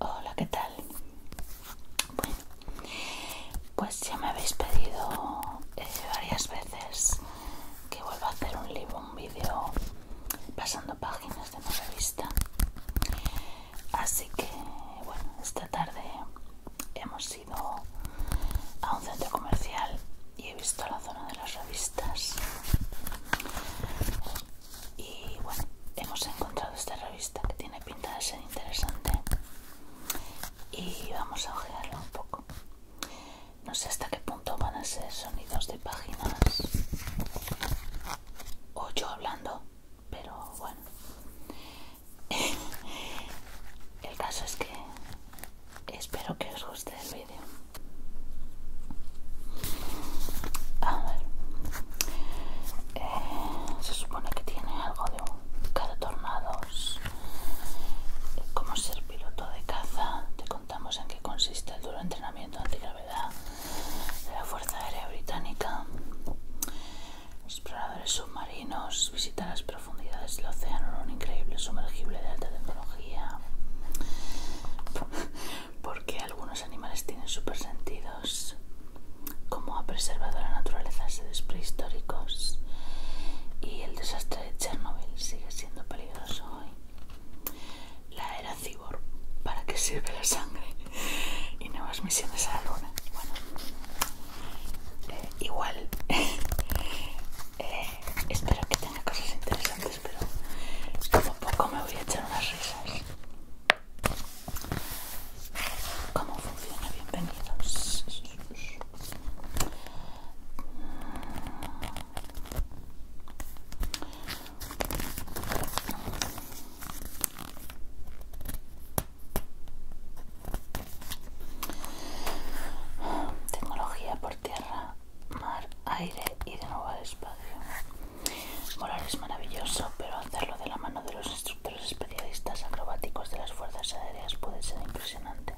Hola, ¿qué tal? Bueno, pues ya me habéis pedido eh, varias veces que vuelva a hacer un libro, un vídeo pasando páginas de revista así que bueno esta tarde hemos ido a un centro comercial y he visto la zona de las revistas y bueno hemos encontrado esta revista que tiene pinta de ser interesante y vamos a hojearla un poco no sé hasta qué punto van a ser sonidos de páginas o yo hablando, pero bueno. El caso es que espero que os guste el vídeo. A ver, eh, se supone que tiene algo de un tornados, Cómo ser piloto de caza, te contamos en qué consiste el duro entrenamiento anterior de la Fuerza Aérea Británica. Exploradores submarinos visitar las profundidades del océano en un increíble sumergible de alta tecnología. Porque algunos animales tienen sentidos, como ha preservado la naturaleza seres prehistóricos. Y el desastre de Chernobyl sigue siendo peligroso hoy la era cibor, para qué sirve la sangre y nuevas misiones a la luna. Bueno, eh, igual, eh, espero que tenga cosas interesantes, pero como poco me voy a echar unas risas. ¿Cómo funciona? Bienvenidos. Tecnología por tierra, mar, aire y de nuevo al espacio. Volar es maravilloso, pero hacerlo de la mano de los instructores especialistas acrobáticos de las fuerzas aéreas puede ser impresionante.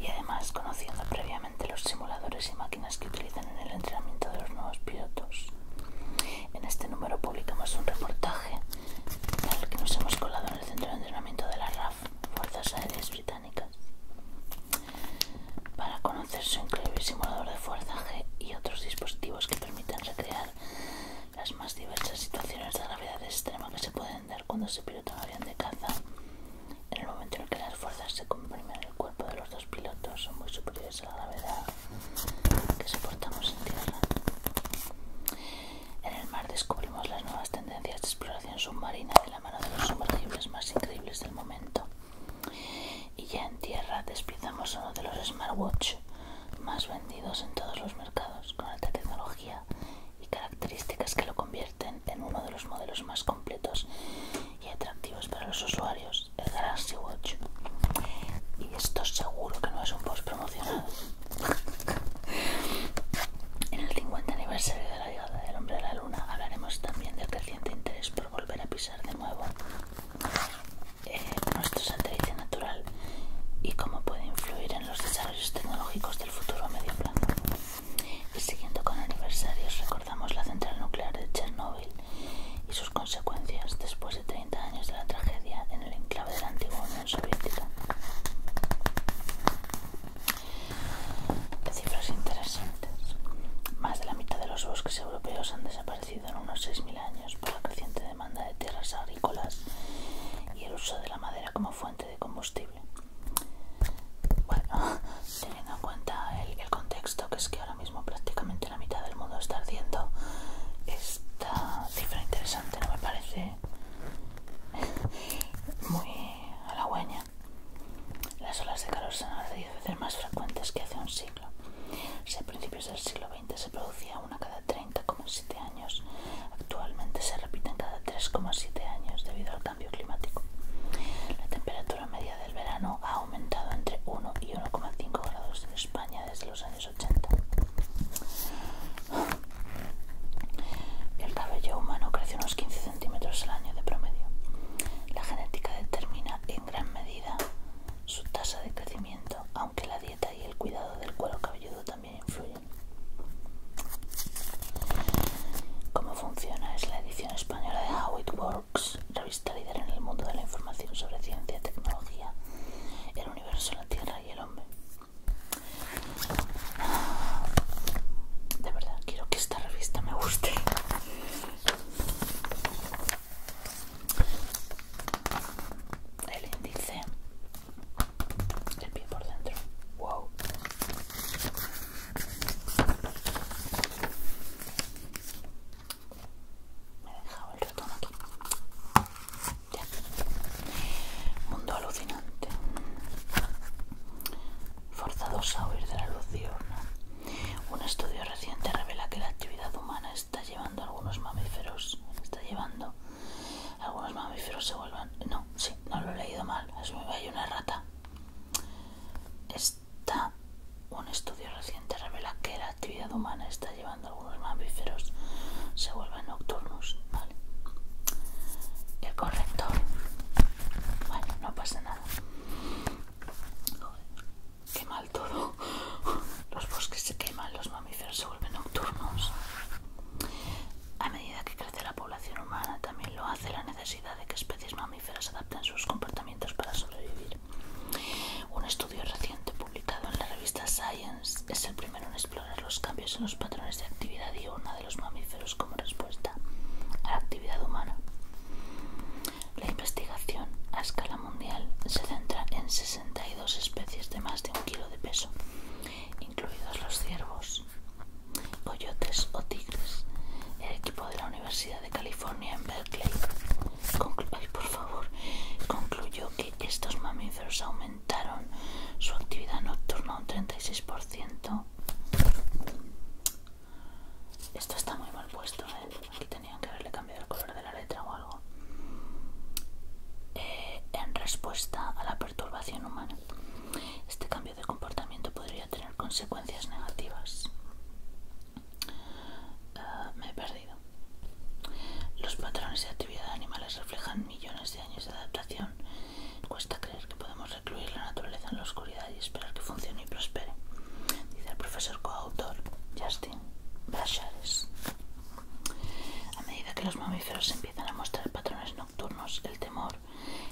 Y además, conociendo previamente los simuladores y máquinas que utilizan en el entrenamiento de los nuevos pilotos. En este número publicamos un reportaje al que nos hemos colado en el centro de entrenamiento de la RAF, Fuerzas Aéreas Británicas, para conocer su increíble simulador de fuerza y otros dispositivos que permiten recrear las más diversas situaciones de gravedad extrema que se pueden dar cuando se pilota un avión de caza en el momento en el que las fuerzas se comprimen en el cuerpo de los dos pilotos son muy superiores a la gravedad que soportamos en tierra. En el mar descubrimos las nuevas tendencias de exploración submarina de la mano de los sumergibles más increíbles del momento. Y ya en tierra a uno de los smartwatch más vendidos en todos los mercados con alta tecnología y características que lo convierten en uno de los modelos más completos y atractivos para los usuarios, el Galaxy Watch. Y esto seguro que no es un post promocional. en el 50 aniversario de la llegada del hombre a la luna hablaremos también del creciente interés por volver a pisar de nuevo eh, nuestro satélite natural y cómo puede influir en los desarrollos tecnológicos del futuro a medio plazo. Y siguiendo con aniversarios, recordamos la central nuclear de Chernóbil y sus consecuencias después de 30 años de la tragedia en el enclave de la antigua Unión Soviética. cifras interesantes. Más de la mitad de los bosques europeos han desaparecido en unos 6.000 años por la creciente demanda de tierras agrícolas y el uso de la madera como fuente de combustible bueno, teniendo en cuenta el, contexto, que es que ahora mismo prácticamente la mitad del mundo está ardiendo, esta cifra interesante no me parece muy halagüeña. Las olas de calor son las 10 veces más frecuentes que hace un siglo. Si a principios del siglo XX se producía una cada 30,7 años, actualmente se repiten cada 3,7 años debido al cambio climático. La temperatura media del verano ha aumentado entre 1 y 1,5 grados en España desde los años 80. El cabello humano crece unos 15 centímetros al año de promedio. La genética determina en gran medida su tasa de crecimiento, aunque la dieta y el cuidado del cuero cabelludo también influyen. ¿Cómo funciona? Es la edición Española de How It Works, revista líder en el mundo de la información sobre ciencia, tecnología, el universo, la Tierra y el hombre. De verdad, quiero que esta revista me guste. El índice, el pie por dentro, wow, me he dejado el aquí. Mundo alucinante. Forzados a huir de la luz Un estudio reciente revela que la actividad humana está llevando a algunos mamíferos. Está llevando. Algunos mamíferos se vuelvan. No, sí, no lo he leído mal. me hay una rata. Está, un estudio reciente revela que la actividad humana está llevando a algunos mamíferos se vuelven nocturnos. Vale. El corrector. Bueno, no pasa nada. quema el toro, todo. Los bosques se queman, los mamíferos se vuelven nocturnos. A medida que crece la población humana, también lo hace la necesidad de que especies mamíferas adapten sus comportamientos para sobrevivir. Un estudio reciente publicado en la revista Science es el primero en explorar los cambios en los patrones de actividad diurna de los mamíferos como respuesta a la actividad humana. La investigación a escala mundial se centra en 62 especies de más de un kilo de peso, incluidos los ciervos, Coyotes o Tigres, el equipo de la Universidad de California en Berkeley, por favor, concluyó que estos mamíferos aumentaron su actividad nocturna un 36%. Esto está muy mal puesto, ¿eh? aquí tenían que haberle cambiado el color de la letra o algo. Eh, en respuesta a la perturbación humana, este cambio de comportamiento podría tener consecuencias negativas. Ah, me he perdido. Los patrones de actividad de animales reflejan millones de años de adaptación. Cuesta creer que podemos recluir la naturaleza en la oscuridad y esperar que funcione y prospere, dice el profesor coautor Justin Bachares. A medida que los mamíferos empiezan a mostrar patrones no el temor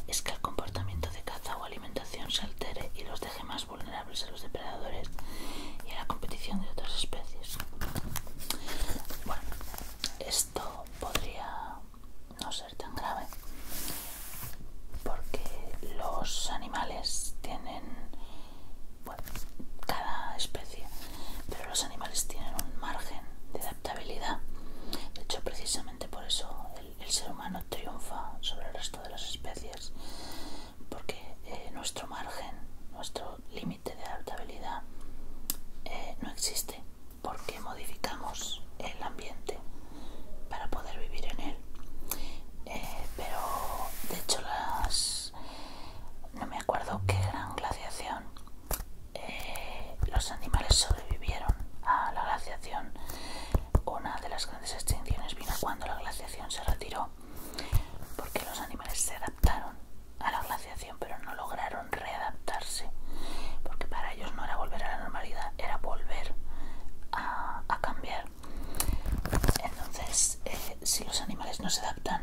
es que el comportamiento de caza o alimentación se altere y los deje más vulnerables a los depredadores y a la competición de otras especies. Bueno, esto podría no ser tan grave porque los animales tienen, bueno, cada especie, pero los animales tienen un margen de adaptabilidad. De hecho, precisamente por eso el, ser humano triunfa sobre el resto de las especies, porque eh, nuestro margen, nuestro límite de adaptabilidad eh, no existe, porque modificamos el ambiente para poder vivir en él. Eh, pero de hecho las no me acuerdo qué gran glaciación eh, los animales sobrevivieron a la glaciación. Una de las grandes extinciones vino cuando la glaciación se retiró, porque los animales se adaptaron a la glaciación, pero no lograron readaptarse, porque para ellos no era volver a la normalidad, era volver a, cambiar. Entonces, eh, si los animales no se adaptan,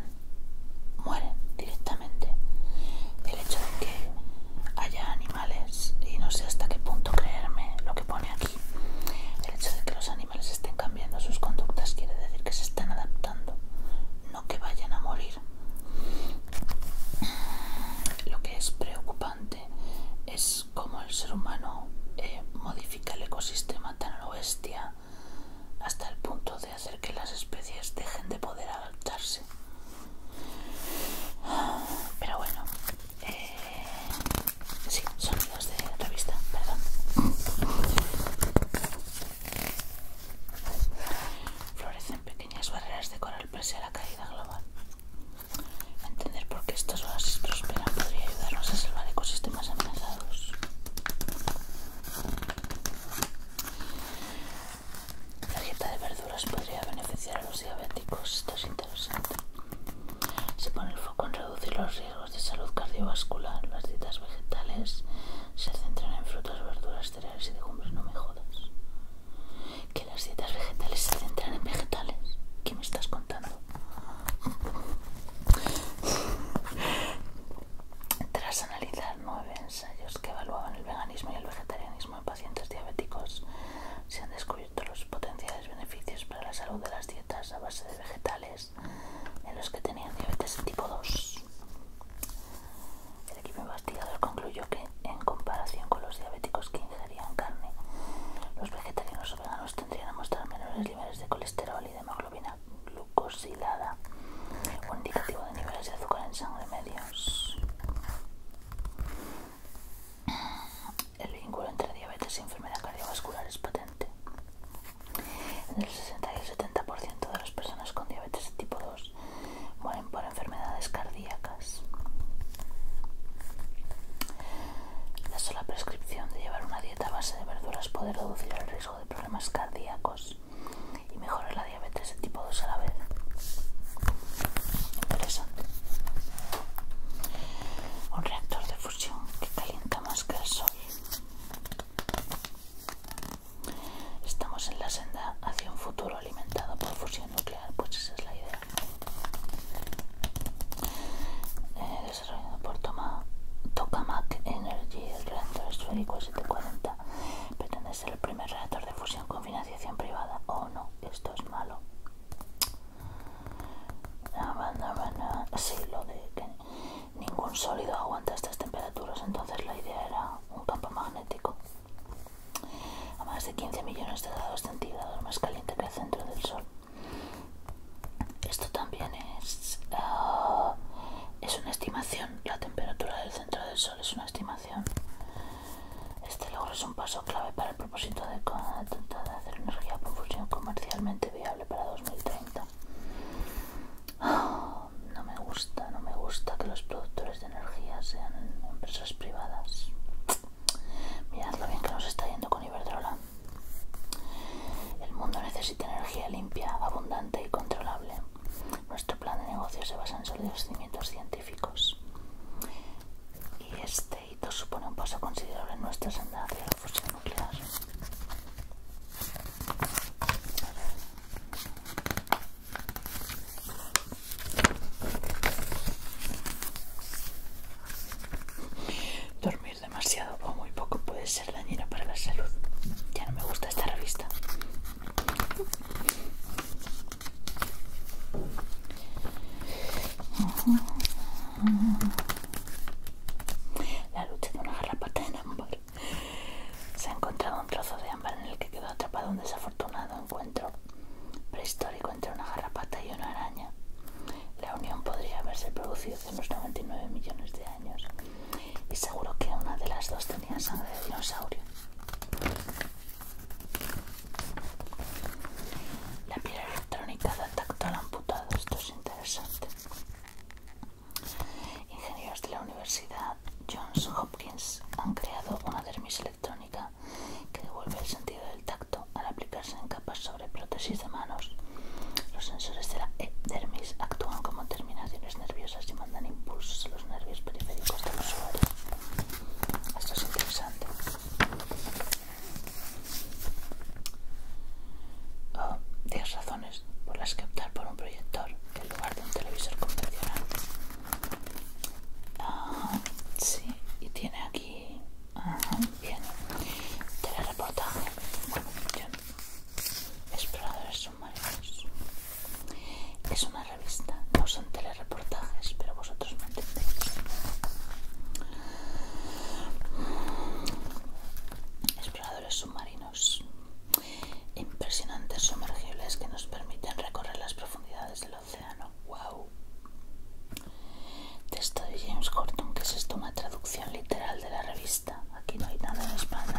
mueren directamente. El hecho de que haya animales y no sé hasta qué punto creerme lo que pone aquí. El hecho de que los animales estén cambiando sus conductas quiere decir que se están adaptando, no que vayan a morir. Lo que es preocupante es cómo el ser humano eh, modifica el ecosistema tan a bestia hasta el punto de hacer que las especies dejen de poder adaptarse. Pero bueno, eh, sí, sonidos de revista, perdón. Florecen pequeñas barreras de coral pese a la caída global. Entender por qué estas oasis prosperan podría ayudarnos a salvar ecosistemas amenazados. La dieta de verduras podría beneficiar a los diabéticos. Esto es interesante. Se pone el foco en reducir los riesgos de salud cardiovascular. Las dietas vegetales se centran en frutas, verduras, cereales y legumbres. No me jodas. Que las dietas vegetales se centran en vegetales. ¿Qué me estás contando? Tras analizar nueve ensayos que evaluaban el veganismo y el vegetarianismo, en pacientes diabéticos. Se han descubierto los potenciales beneficios para la salud de las dietas a base de vegetales en los que tenían diabetes tipo 2. El equipo investigador concluyó que, en comparación con los diabéticos que ingerían carne, los vegetarianos o veganos tendrían a mostrar menores niveles de colesterol y de hemoglobina glucosilada, un indicativo de niveles de azúcar en sangre media. El vínculo entre diabetes y enfermedad cardiovascular es patente. el 60 y el 70% de las personas con diabetes tipo 2 mueren por enfermedades cardíacas. La sola prescripción de llevar una dieta a base de verduras puede reducir el riesgo de problemas cardíacos y mejora la diabetes de tipo 2 a la vez. Interesante. Un reactor de fusión que calienta más que el sol. Estamos en la senda hacia un futuro alimentado por fusión nuclear, pues esa es la idea. Eh, desarrollado por Toma, Tokamak Energy, el reactor esférico 740 pretende el primer reactor de fusión con financiación privada. o no, esto es malo. Sí, lo de que ningún sólido aguanta estas temperaturas, entonces la idea era un campo magnético a más de 15 millones de grados centígrados más caliente que el centro del Sol. Esto también es, ah, es una estimación, la temperatura del centro del Sol es una estimación este logro es un paso clave para el propósito de, hacer energía por fusión comercialmente viable para 2030. no me gusta, no me gusta que los productores de energía sean empresas privadas. Mirad lo bien que nos está yendo con Iberdrola. El mundo necesita energía limpia, abundante y controlable. Nuestro plan de negocio se basa en los cimientos científicos. Y este hito supone un paso considerable en nuestra senda hacia la fusión nuclear. Dormir demasiado o muy poco puede ser dañino para la salud. Ya no me gusta esta revista. La lucha de una garrapata en ámbar. Se ha encontrado un trozo de ámbar en el que quedó atrapado un desafortunado encuentro prehistórico entre una garrapata y una araña. La unión podría haberse producido hace unos 99 millones de años y seguro que una de las dos tenía sangre de dinosaurio. La piel electrónica da tacto al amputado, esto es interesante. Ingenieros de la Universidad Johns Hopkins han creado una dermis electrónica que devuelve el sentido del tacto al aplicarse en capas sobre prótesis de manos. Los sensores de la e dermis actúan como terminaciones nerviosas y mandan impulsos a los nervios periféricos del usuario. Esto es interesante. Oh, 10 razones por las que optar por un proyector en lugar de un televisor convencional. Ah, sí, y tiene aquí. bien. Telereportaje. Bueno, bien. Exploradores es una revista, no son telereportajes, pero vosotros me entendéis. Exploradores submarinos. Impresionantes sumergibles que nos permiten recorrer las profundidades del océano. ¡Wow! Texto de James Gordon, que es esto una traducción literal de la revista aquí no hay nada en español.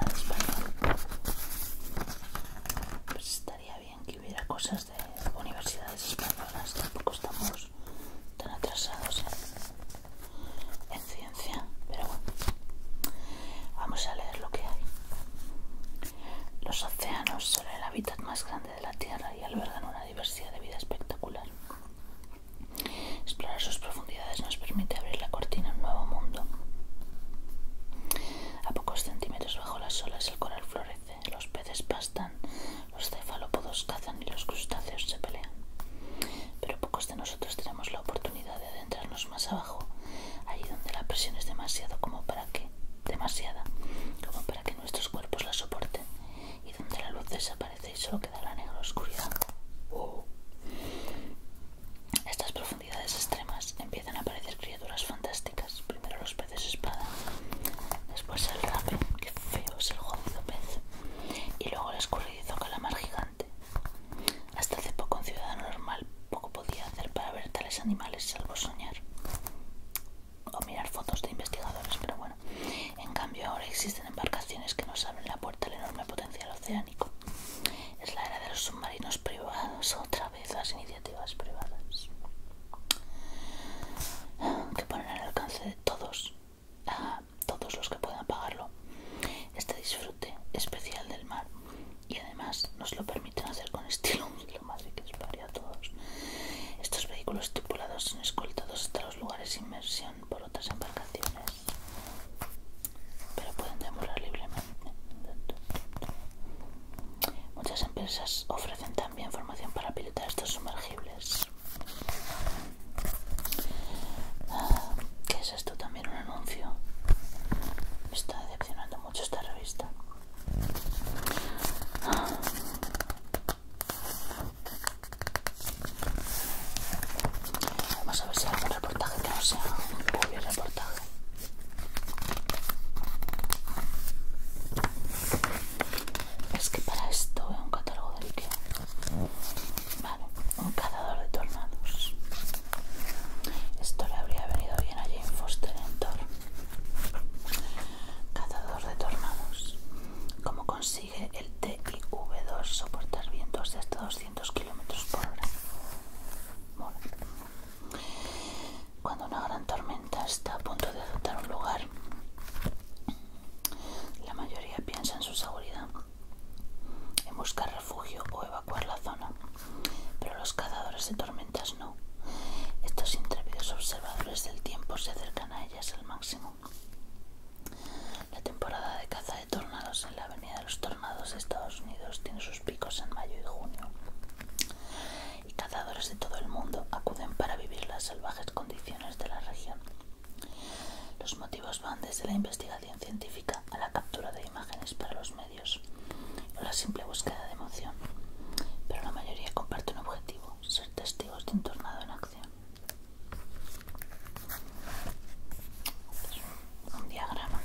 Pues estaría bien que hubiera cosas de universidades españolas, tampoco estamos tan atrasados en ciencia, pero bueno, vamos a leer lo que hay. Los océanos son el hábitat más grande de la Tierra y albergan una diversidad de vida espectacular. Explorar sus profundidades nos permite abrir la cortina a un nuevo mundo. A pocos centímetros bajo las olas el coral florece, los peces pastan, los cefalópodos cazan y los crustáceos se pelean. Pero pocos de nosotros tenemos la oportunidad de adentrarnos más abajo, ahí donde la presión es demasiado como para que demasiada como para que nuestros cuerpos la soporten y donde la luz desaparece y solo queda la negra oscuridad. Estas extremas empiezan a aparecer criaturas fantásticas. Primero los peces espada, después el rape, qué feo es el pez, y luego el escurridizo calamar gigante. Hasta hace poco un ciudadano normal poco podía hacer para ver tales animales salvo soñar o mirar fotos de investigadores, pero bueno. En cambio ahora existen embarcaciones que nos abren la puerta el enorme potencial oceánico. Es la era de los submarinos privados, otra vez las iniciativas privadas que ponen al alcance de todos, a todos los que puedan pagarlo, este disfrute especial del mar y además nos lo permiten hacer con estilo, lo más que es para todos. Estos vehículos tripulados son escoltados hasta los lugares de inmersión por otras embarcaciones pero pueden demorar libremente. Muchas empresas ofrecen también formación para pilotar estos sumergibles. Ah, ¿Qué es esto? También un anuncio. Me está decepcionando mucho esta revista. Ah. Vamos a ver si hay algún reportaje que no sea un buen reportaje. Es que para esto es un catálogo de Ikea. Vale, un cazador de tornados. Esto le habría venido bien a Jane Foster en Thor. Cazador de tornados. ¿Cómo consigue el TIV2 soportar vientos de hasta 200 km por hora? Cuando una gran tormenta está a punto de adoptar un lugar, la mayoría piensa en su seguridad, en buscar refugio o evacuar la zona, pero los cazadores de tormentas no. Estos intrépidos observadores del tiempo se acercan a ellas al máximo. La temporada de caza de tornados en la Avenida de los Tornados de Estados Unidos tiene sus picos en mayo y junio. Y cazadores de todo el mundo acuden para vivir las salvajes condiciones de la región. Los motivos van desde la investigación científica a la captura de imágenes para los medios o la simple búsqueda de emoción. Pero la mayoría comparte un objetivo, ser testigos de un tornado en acción un diagrama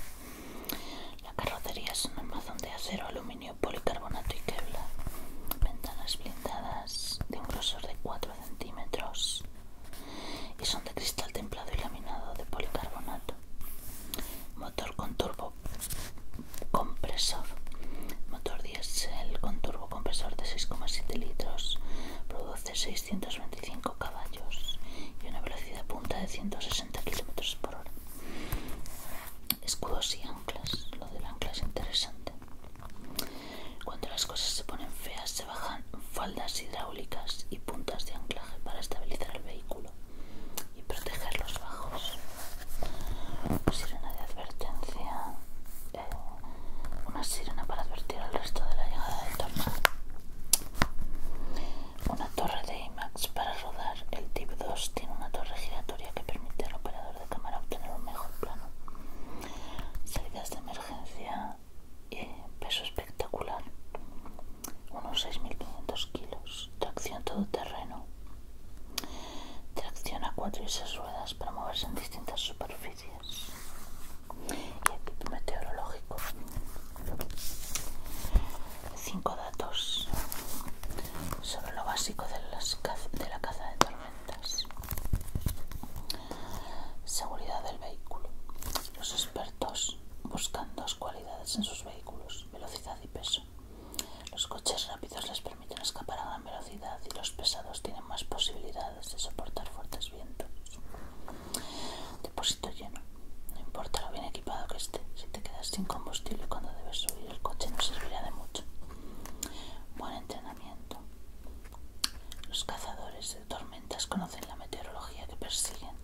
la carrocería es un armazón de acero, aluminio, policarbonato y kevlar ventanas blindadas de un grosor de 4 centímetros y son de cristal templado y laminado de policarbonato motor con turbo compresor motor diésel con turbo compresor de 6,7 litros produce 325 caballos y una velocidad punta de 160 km por hora. Escudos y anclas, lo del ancla es interesante. Cuando las cosas se ponen feas, se bajan faldas hidráulicas y puntas de anclaje para estabilizar el vehículo y proteger los bajos. Sirena de advertencia, eh, una sirena para advertir al resto de la llegada del tornado. Una torre de IMAX para rodar. El Tip 2 tiene una torre giratoria que permite al operador de cámara obtener un mejor plano. Salidas de emergencia y eh, peso espectacular. Unos 6.500 kilos. Tracción todoterreno. Tracción a 4 y 6 ruedas para moverse en distintas superficies y meteorológico. Cinco datos sobre lo básico de, de la caza de tormentas. Seguridad del vehículo. Los expertos buscan dos cualidades en sus vehículos, velocidad y peso. Los coches rápidos les permiten escapar a gran velocidad y los pesados tienen más posibilidades de soportar fuertes vientos. Depósito lleno. No importa lo bien equipado que esté. Si te quedas sin combustible cuando debes subir, el coche no servirá de mucho. Buen entrenamiento. Los cazadores de tormentas conocen la meteorología que persiguen,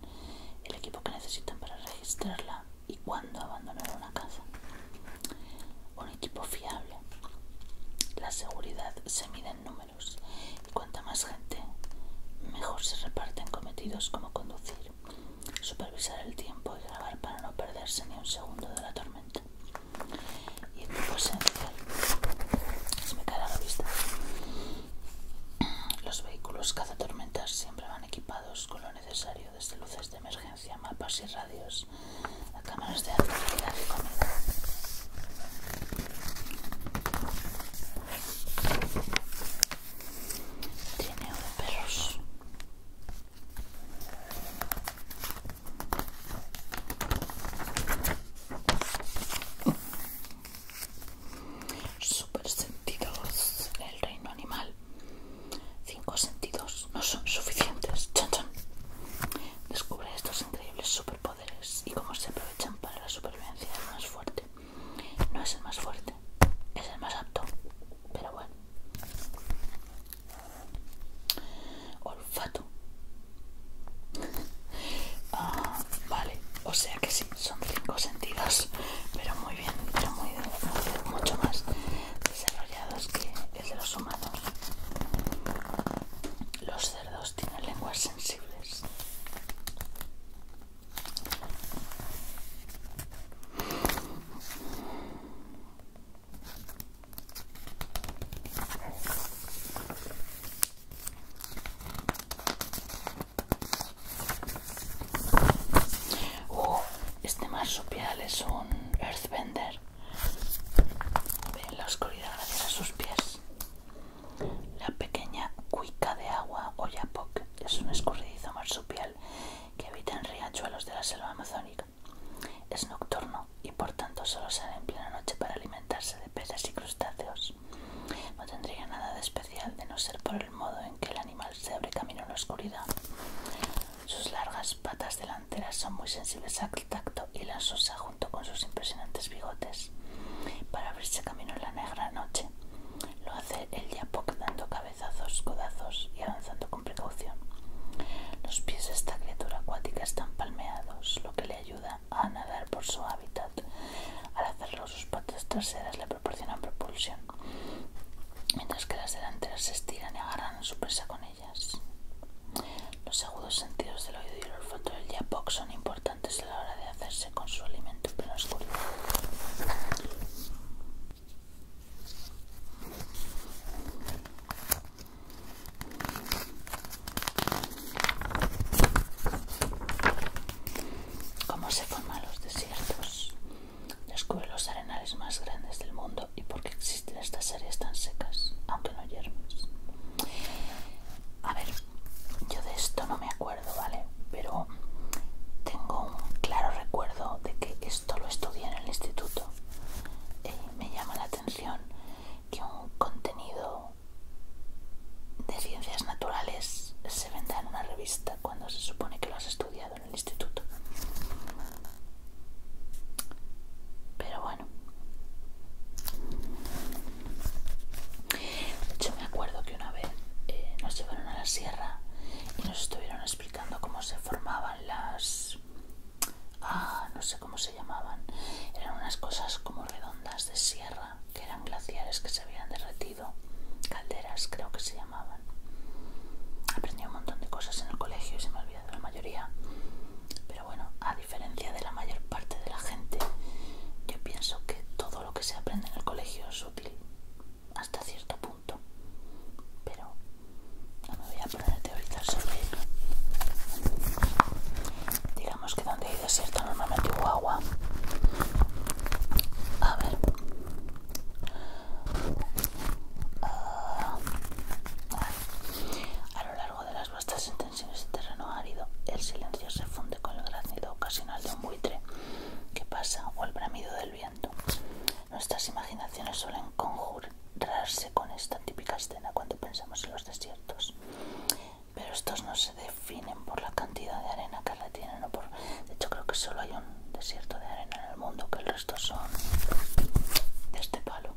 el equipo que necesitan para registrarla y cuándo abandonar una caza. Un equipo fiable. La seguridad se mide en números y cuanta más gente, mejor se reparten cometidos como conducir, supervisar el tiempo y grabar para no perderse ni un segundo de la tormenta. Y en tipo esencial, se me cae la vista. Los vehículos cazatormentas siempre van equipados con lo necesario, desde luces de emergencia, mapas y radios, a cámaras de alta calidad y comida. Tiene de perros. Super sentidos el reino animal. Cinco sentidos no son suficientes. Chan, chan. Descubre estos increíbles super y cómo se aprovechan para la supervivencia del más fuerte. No es el más fuerte, es el más apto, pero bueno. Olfato. Ah, vale, o sea que sí, son cinco sentidos, pero muy bien, pero muy mucho más desarrollados que el de los humanos. Los cerdos tienen lenguas sensibles. Oh, este marsupial es un earthbender. Ve en la oscuridad gracias a sus pies. La pequeña cuica de agua o yapok es un escurridizo marsupial que habita en riachuelos de la selva amazónica. Es nocturno y por tanto solo sale en plena noche para alimentarse de peces y crustáceos. No tendría nada de especial de no ser por el modo en que el animal se abre camino en la oscuridad. Sus largas patas delanteras son muy sensibles al tacto y las usa con sus impresionantes bigotes para abrirse camino en la negra noche. Lo hace el Yapok dando cabezazos, codazos y avanzando con precaución. Los pies de esta criatura acuática están palmeados, lo que le ayuda a nadar por su hábitat. Al hacerlo, sus patas traseras le proporcionan propulsión, mientras que las delanteras se estiran y agarran su presa con ellas. Los agudos sentidos del oído y el olfato del Yapok son importantes antes a la hora de hacerse con su alimento en plena ¿Cómo se forman los desiertos? Descubre los arenales más grandes del mundo y por qué existen estas áreas tan secas, aunque no yermes. A ver, yo de esto no me acuerdo, ¿vale? Pero tengo un claro recuerdo de que esto lo estudié en el instituto. Y eh, me llama la atención que un contenido de ciencias naturales se venda en una revista cuando se supone que lo has estudiado en el instituto. Pero bueno de hecho me acuerdo que una vez eh, nos llevaron a la sierra y nos estuvieron explicando cómo se formaban las ah no sé cómo se llamaban eran unas cosas como redondas de sierra que eran glaciares que se habían derretido calderas creo que se llamaban aprendí un montón de cosas en el colegio y se me olvidó la mayoría pero bueno diferencia de la mayor parte de la gente, yo pienso que todo lo que se aprende en el colegio es útil hasta cierto punto. Pero no me voy a poner a teorizar sobre Digamos que donde hay desierto, normalmente hubo agua. A ver. Ah, a, lo largo de las sentencias en este terreno árido, el silencio se funde con el graznido ocasional de un buitre que pasa o el bramido del viento. Nuestras imaginaciones suelen conjurarse con esta típica escena cuando pensamos en los desiertos, pero estos no se definen por la cantidad de arena que retienen o por... De hecho creo que solo hay un desierto de arena en el mundo, que el resto son de este palo.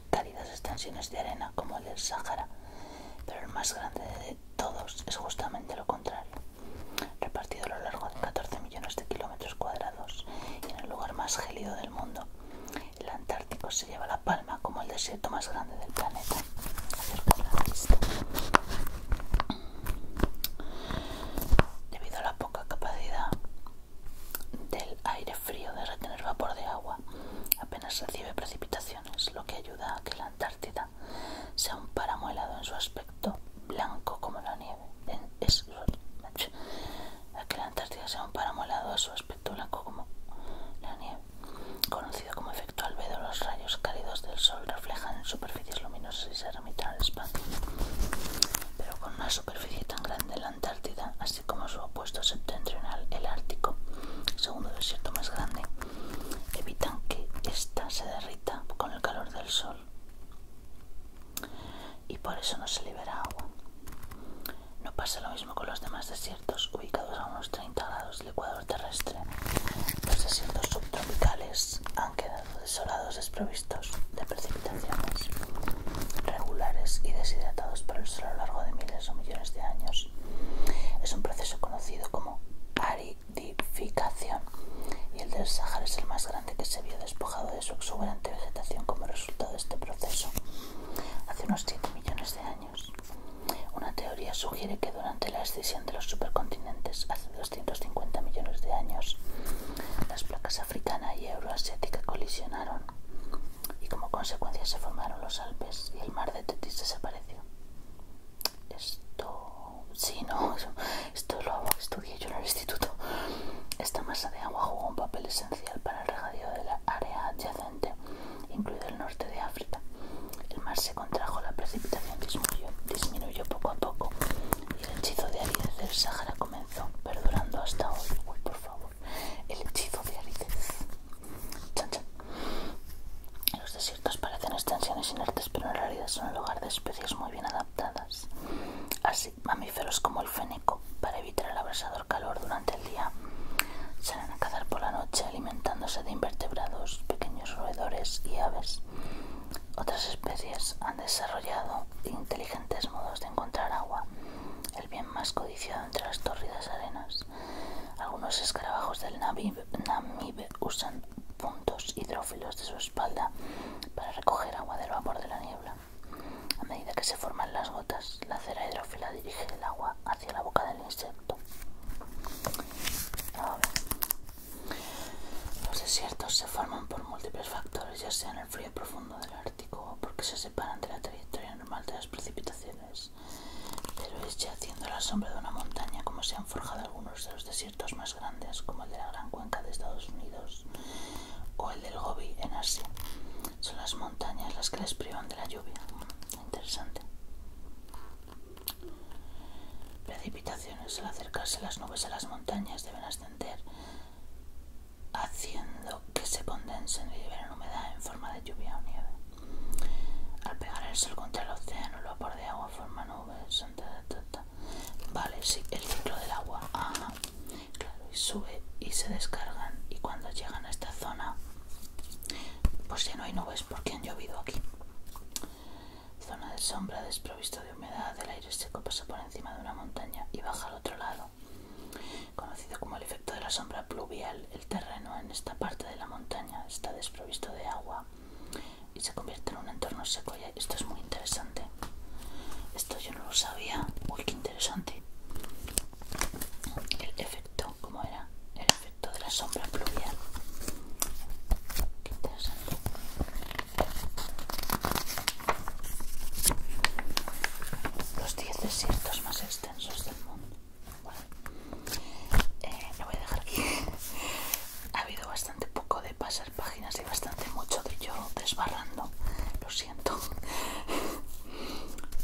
cálidas extensiones de arena como el del Sahara, pero el más grande de todos es justamente lo contrario, repartido a lo largo de 14 millones de kilómetros cuadrados y en el lugar más gélido del mundo. El Antártico se lleva la palma como el desierto más grande del planeta. Debido a la poca capacidad del aire frío de retener vapor de agua apenas recibe precipitaciones, lo que ayuda a que la Antártida sea un páramo helado en su aspecto blanco como la nieve. la Antártida sea un helado su aspecto blanco como la Conocido como efecto albedo, los rayos cálidos del sol reflejan en superficies luminosas y se remitan al espacio. Pero con una superficie tan grande, la Antártida, así como su opuesto septentrional, el Ártico, segundo desierto más grande, evitan que ésta se derrita con el calor del sol y por eso no se libera agua. No pasa lo mismo con los demás desiertos ubicados a unos 30 grados del ecuador terrestre. Los desiertos subtropicales han quedado desolados desprovistos de precipitaciones regulares y deshidratados por el sol a lo largo de miles o millones de años. Es un proceso conocido como aridificación y el del Sahara es el más grande que se vio despojado de su exuberante vegetación como resultado de este proceso hace unos 7 millones de años. Una teoría sugiere que durante la escisión de los supercontinentes hace 250 millones de años, las placas africana y euroasiática colisionaron y como consecuencia se formaron los Alpes y el mar de Tetis desapareció. Esto, sí, no, esto lo estudié yo en el instituto. Esta masa de agua jugó un papel esencial para el regadío de la área adyacente, incluido el norte de África. El mar se contrajo, la precipitación disminuyó, disminuyó poco a poco y el hechizo de Ariel del Sahara comenzó, perdurando hasta hoy. Uy, por favor. El hechizo de Los desiertos parecen extensiones inertes, pero en realidad son el hogar de especies muy bien adaptadas. Así, mamíferos como el fénico, para evitar el abrasador calor durante el día, salen a cazar por la noche alimentándose de invertebrados, pequeños roedores y aves. Otras especies han desarrollado inteligentes modos de encontrar agua el bien más codiciado entre las torridas arenas. Algunos escarabajos del Namib, usan puntos hidrófilos de su espalda para recoger agua del vapor de la niebla. A medida que se forman las gotas, la cera hidrófila dirige el agua hacia la boca del insecto. los desiertos se forman por múltiples factores, ya sea en el frío profundo del la porque se separan de la trayectoria normal de las precipitaciones, pero es ya haciendo la sombra de una montaña como se han forjado algunos de los desiertos más grandes, como el de la Gran Cuenca de Estados Unidos o el del Gobi en Asia. Son las montañas las que les privan de la lluvia. Interesante. Precipitaciones al acercarse las nubes a las montañas deben ascender haciendo que se condensen y liberen humedad en forma de lluvia o nieve. Al pegar el sol contra el océano, el vapor de agua forma nubes. Vale, sí, el ciclo del agua. y sube y se descargan. Y cuando llegan a esta zona, pues ya no hay nubes porque han llovido aquí. Zona de sombra desprovisto de humedad, el aire seco pasa por encima de una montaña y baja al otro lado. Conocido como el efecto de la sombra pluvial, el terreno en esta parte de la montaña está desprovisto de agua y se convierte en un entorno seco. Y esto es muy interesante. Esto yo no lo sabía. Uy, qué interesante. El efecto, ¿cómo era? El efecto de la sombra pluvial. Qué interesante los 10 desiertos más extensos del mundo. Eh, lo voy a dejar aquí. ha habido bastante poco de pasar páginas y bastante mucho de yo desbarrando. Lo siento.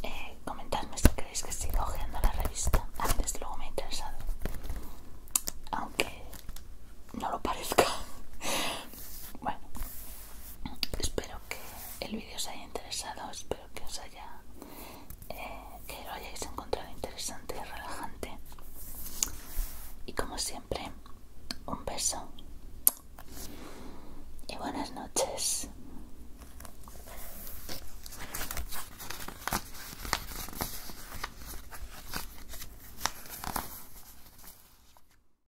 Eh, comentadme si queréis que siga ojeando la revista. antes luego me ha interesado. Aunque no lo parezca. Bueno, espero que el vídeo os haya interesado, espero que os haya eh, que lo hayáis encontrado interesante y relajante. Y como siempre, un beso y buenas noches.